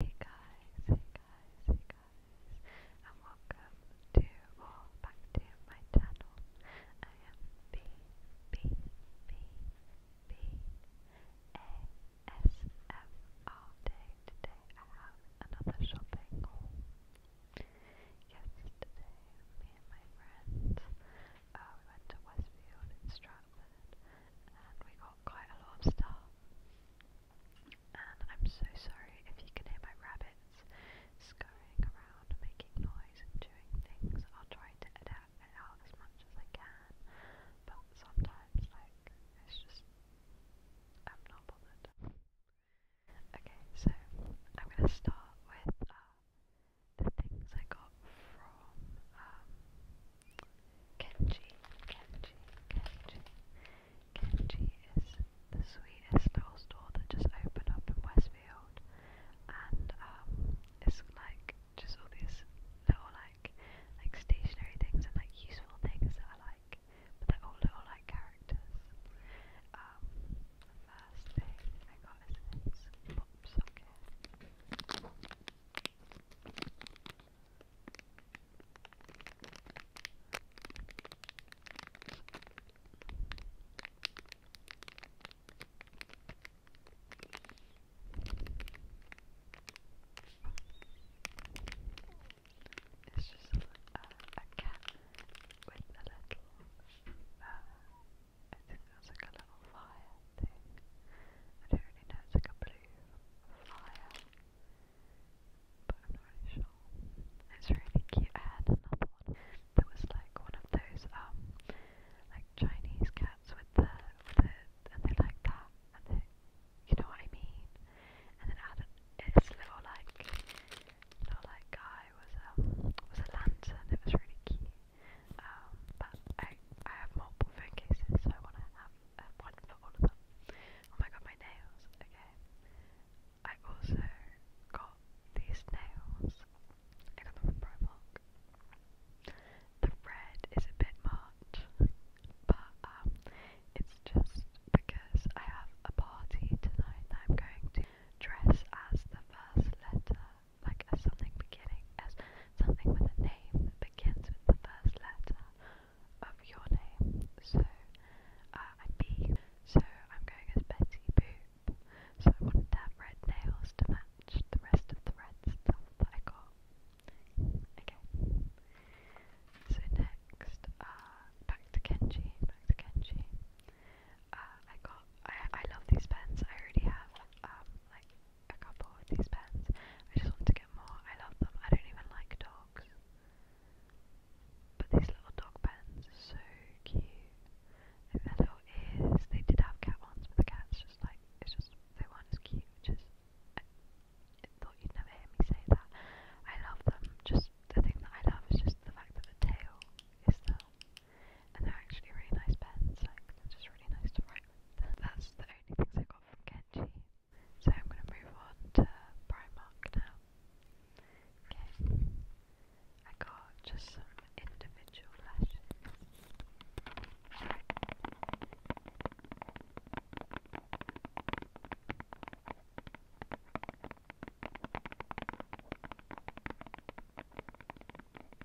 Hey guys, hey guys, hey guys, and welcome to or back to my channel. I am B B B B A S M R Today I have another shopping haul. Yesterday, me and my friends, uh, we went to Westfield in Stratford, and we got quite a lot of stuff. And I'm so sorry if you can hear my rabbits scurrying around, making noise and doing things. I'll try to adapt it out as much as I can, but sometimes, like, it's just, I'm not bothered. Okay, so I'm gonna start with uh, the things I got from um, Kenji, Kenji, Kenji. Kenji is the sweetest little store that just opened up in Westfield, and um, it's like just all these little like like stationary things and like useful things that I like, but they're all little like characters. the um, first thing I got is this pop it's just a, cat with a little, uh, I think that's like a little fire thing. I don't really know, it's a blue but I'm not really sure. It's really cute. I had another one that was like one of those um like Chinese cats with the the and they like that and they you know what I mean. And then Adam, its little like little like guy was um was a lantern. It was really cute. Um, but I I have multiple phone cases, so I want to have one for all of them. Oh my god, my nails. Okay. I also got these nails. I got them from Primark. The red is a bit much, but um, it's just because I have a party tonight that I'm going to dress as the first letter, like as something beginning as something with a name begins with the first letter of your name. So uh, So I'm going as Betty Boop. So I wanted to have red nails to match the rest of the red that I got. Okay. So next, uh, back to Kenji. Back to Kenji. Uh, I got. I I love these pens. I already have um, like a couple of these pens. I just want to get more. I love them. I don't even like dogs. But these little dog pens are so cute. And their little ears. They did have cat ones, but the cat's just like, it's just, they weren't as cute, which is, I, I thought you'd never hear me say that. I love them. Just, the thing that I love is just the fact that the tail is them. And they're actually really nice pens, like, they're just really nice to write strength. That's the only things I got from Kenji. So I'm going to move on to Primark now. Okay. I got just some individual lashes.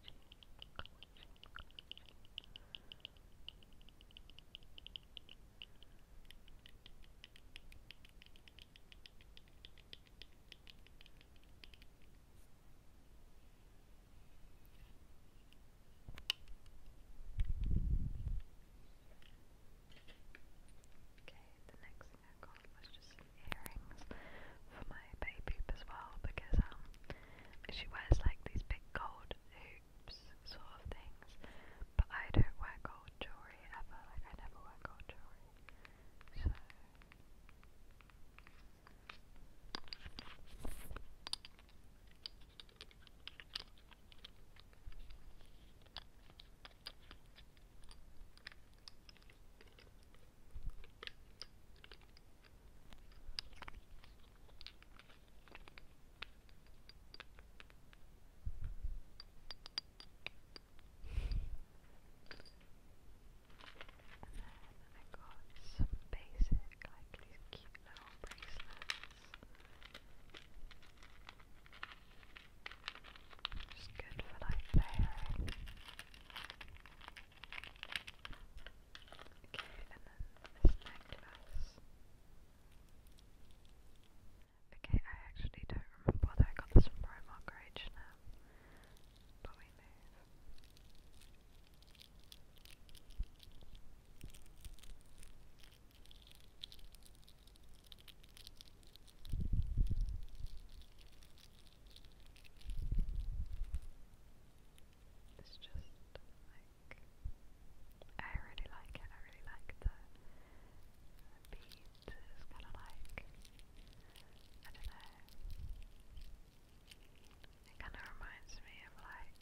Okay, the next thing I got was just earrings for my baby as well because um she wears like these big gold hoops sort of things, but I don't wear gold jewelry ever. Like I never wear gold jewelry, so. I got some basic, like these cute little bracelets. Just good for like layering. Okay, and then this necklace. Okay, I actually don't remember whether I got this from Primark or h but we move. It's just like I really like it. I really like the, beat. It's kind of like I don't know. It kind of reminds me of like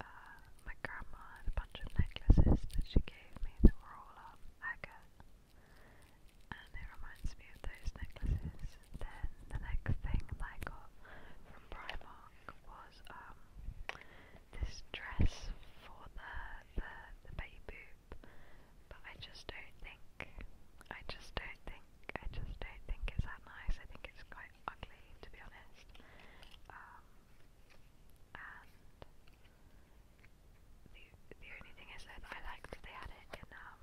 uh, my grandma had a bunch of necklaces that she gave me that were all um and it reminds me of those necklaces. Then the next thing I got from Primark was um this dress for the the, the baby boob, but I just don't think I just don't think I just don't think it's that nice. I think it's quite ugly to be honest. Um, the the only thing is that I liked they had it in um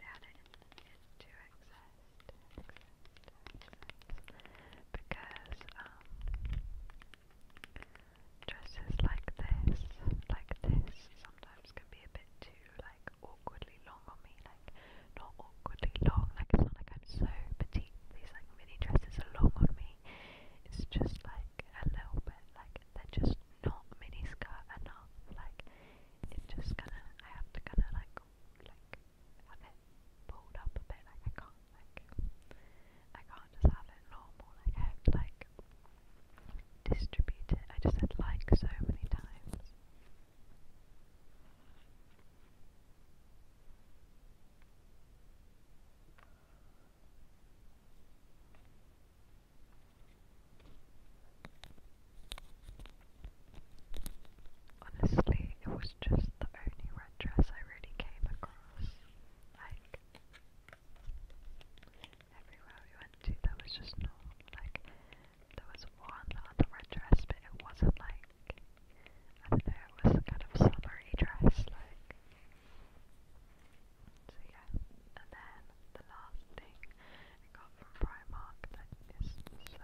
they had it in, in two excess, two excess, two excess because um dresses like this like this sometimes can be a bit too like awkwardly long on me like not awkwardly long like it's not like I'm so petite these like mini dresses are long on me me. It's just like a little bit like they're just not mini skirt enough. Like it's just gonna I have to kinda like like have it pulled up a bit. Like I can't like I can't just have it normal. Like I have to like distribute it. I just said like so many times. Honestly, it was just the only red dress I really came across. Like, everywhere we went to, there was just no, like, there was one other red dress, but it wasn't like, I don't know, it was a kind of summery dress, like, so yeah, and then the last thing I got from Primark that is so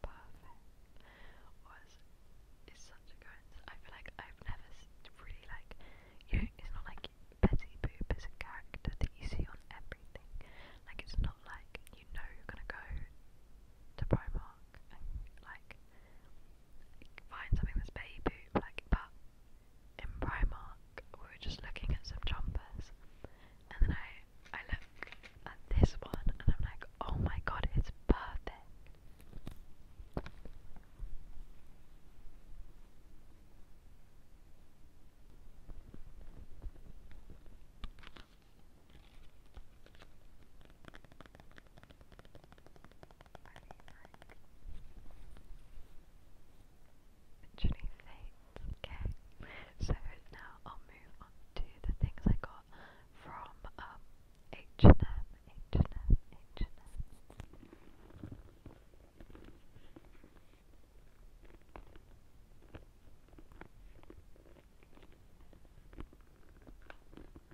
perfect was it's such a coincidence. I feel like I've never really like you it's not like Betty Boop is a character that you on everything. Like it's not like you know you're gonna go to Primark like find something that's baby poop, like, but in Primark, we were just looking at some jumpers, and then I, I look at this one, and I'm like, oh my god, it's perfect. Literally fades. Okay. So now I'll move on to the things I got from um, H and M, H and M, H and M.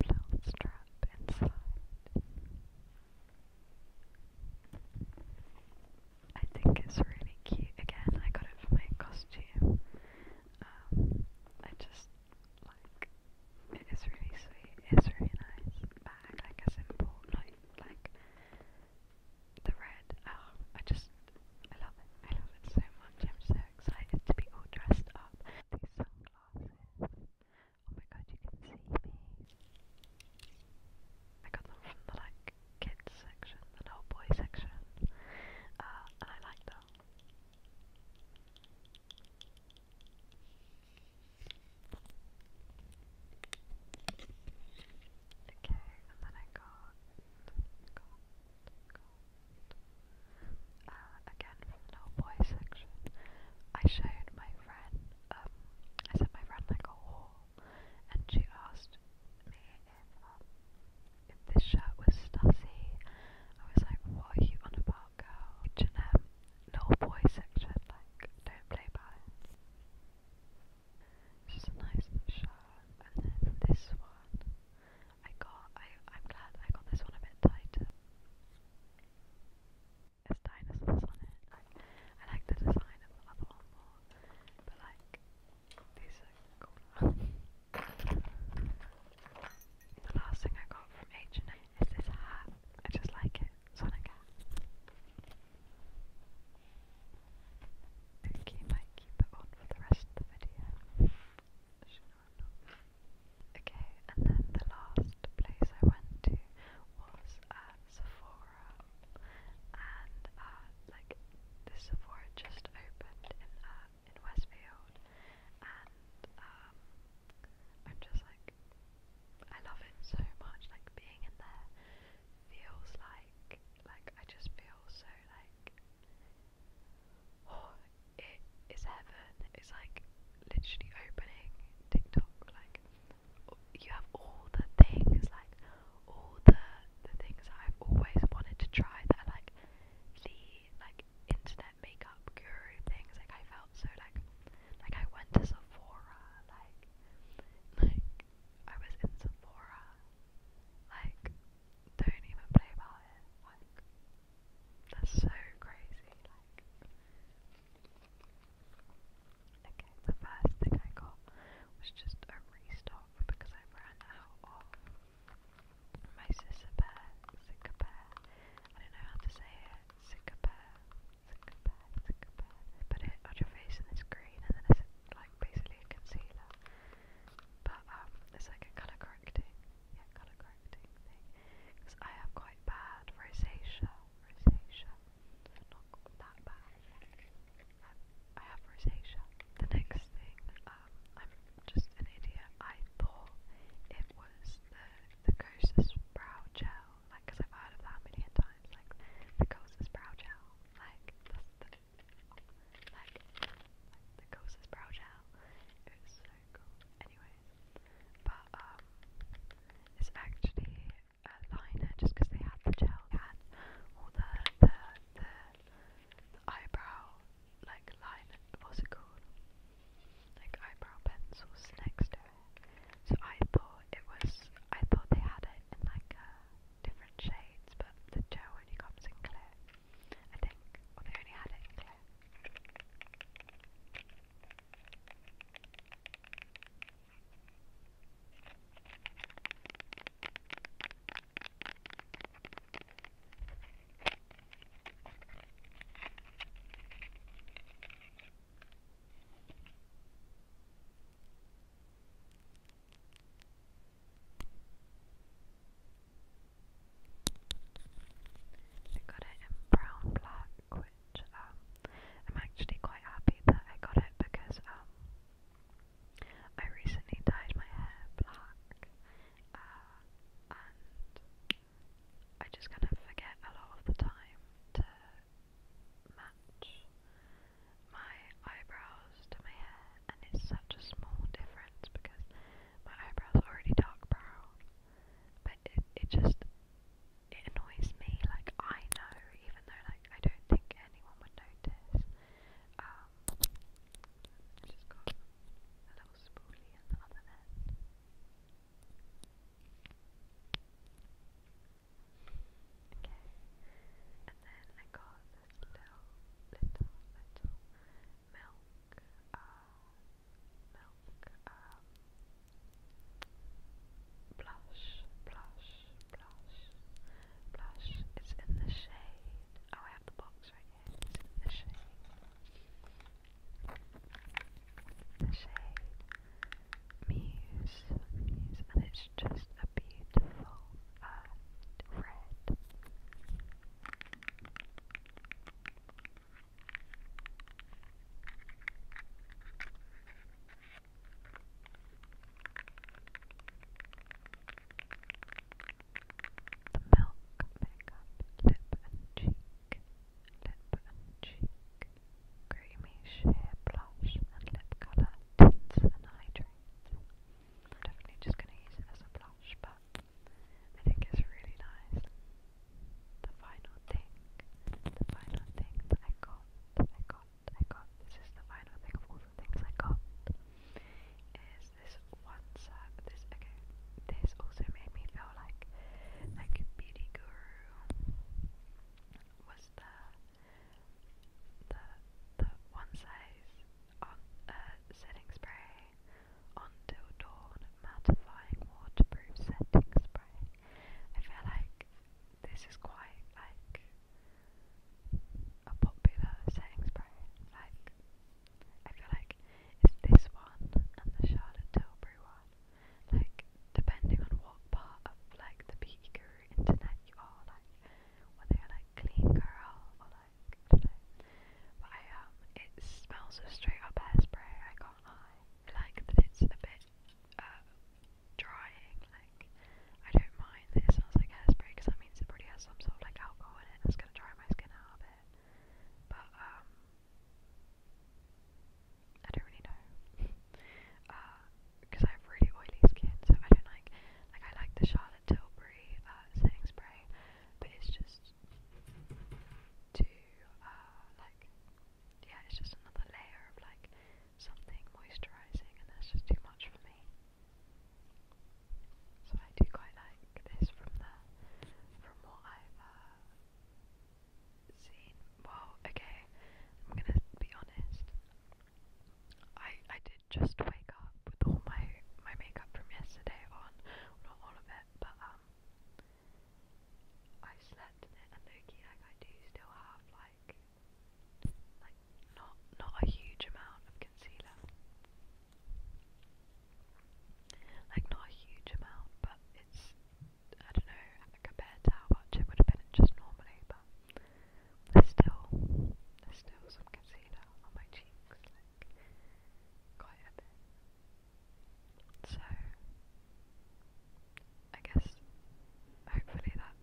Belt strap inside. I think it's really cute. Again, I got it for my costume. Um, I just like it is really sweet, it's really nice bag, like a simple like like the red, oh I just I love it, I love it so much, I'm so excited to be all dressed up. These sunglasses. Oh my god, you can see me. I got them from the like kids section, the little boy section. Uh, and I like them. Okay, and then I got, got, got uh, again from boy section. I showed my friend, um, I sent my friend like a haul, and she asked me if um, if this shirt was Stasi. I was like, what are you on a girl? H&M, little boy section, like, don't play by It's just a nice shirt. And then this one, I got, I, I'm glad I got this one a bit tighter. There's dinosaurs on it. I like the design of the other one more, but like, these the last thing I got from H&M is this hat. I just like it. Sonic I think you might keep it on for the rest of the video. Okay, and then the last place I went to was at uh, Sephora, and uh, like the Sephora just opened in uh, in Westfield, and um, I'm just like, I love it so much. Like being in there feels like, like I just feel so like, oh, it is heaven. It's like literally opening TikTok. Like you have all the things, like all the the things that I've always wanted to try that are like the like internet makeup guru things. Like I felt so like like I went to Sephora, like like I was in Sephora. Like don't even play about it. Like that's so crazy. Like okay, the first thing I got was just a restock because I ran out of my sister bear, sicker bear. I don't know how to say it. Sicker bear, sicker bear, sicker bear. Put it on your face and it's green, and then it's like basically a concealer. But um, it's like a colour correcting, yeah, colour correcting thing. Because I have quite bad rosacea, rosacea, not that bad. I have rosacea. The next thing, um, I'm just an idiot. I thought it was the the Kosas brow gel, like, cause I've heard of that a million times. Like the Kosas brow gel, like that's the like, like the Kosas brow gel. It was so cool. Anyways, but um, it's actually a liner just because they had the gel, they had all the the the eyebrow like what's it called? Like eyebrow pencils next to it. So I thought it was I thought they had it in like uh, different shades, but the gel only comes in clear. I think. Or they only had it clear. I got it in brown black, which um, I'm actually quite happy that I got it because um, I recently dyed my hair black, uh, and I just kind of forget a lot of the time to match my eyebrows to my hair, and it's such a small difference because my eyebrows are already dark brown, but it, it just it annoys me. Like I know, even though like I don't think anyone would notice, um, i just got a little spoolie at the other end. Okay, and then I got this little, little, little milk, uh, milk, um, blush, blush, blush blush. It's in the shade. Oh, I have the box right here. It's in the shade. The shade Muse. Muse. And it's just a beautiful uh, red. The milk makeup lip and cheek, lip and cheek, creamy sheer blush and lip colour tints and hydrates. I'm definitely just going to use it as a blush, but I think it's really nice. The final thing, the final thing that I got, that I got, I got, this is the final thing of all the things I got, is this one set, this, okay, this also made me feel like, like Beauty Guru was the, the, the one size on, uh, setting spray, until dawn, mattifying waterproof setting spray, I feel like this is quite like a popular setting spray. Like, I feel like it's this one and the Charlotte Tilbury one. Like, depending on what part of like the beauty guru internet you are, like whether you're like clean girl or like I don't know. But I um, it smells of straight up hairspray. I can't lie. I like that it's a bit. Uh, drying, like, I don't mind that it smells like hairspray because that means it probably has some sort of like alcohol in it that's going to dry my skin out a bit. But, um, I don't really know. Because uh, I have really oily skin, so I don't like, like, I like the Charlotte Tilbury uh, setting spray, but it's just too, uh, like, yeah, it's just another layer of like something moisturising, and that's just too much for me. So I do quite like this from the from what I've uh, seen. Well, okay, I'm gonna be honest. I I did just wake up with all my my makeup from yesterday on, not all of it, but um, I slept in it, and Loki, like I do still have like like not not a huge amount of concealer. Like not a huge amount, but it's I don't know compared to how much it would have been just normally, but there's still there's still some concealer on my cheeks, like quite a bit. So I guess hopefully that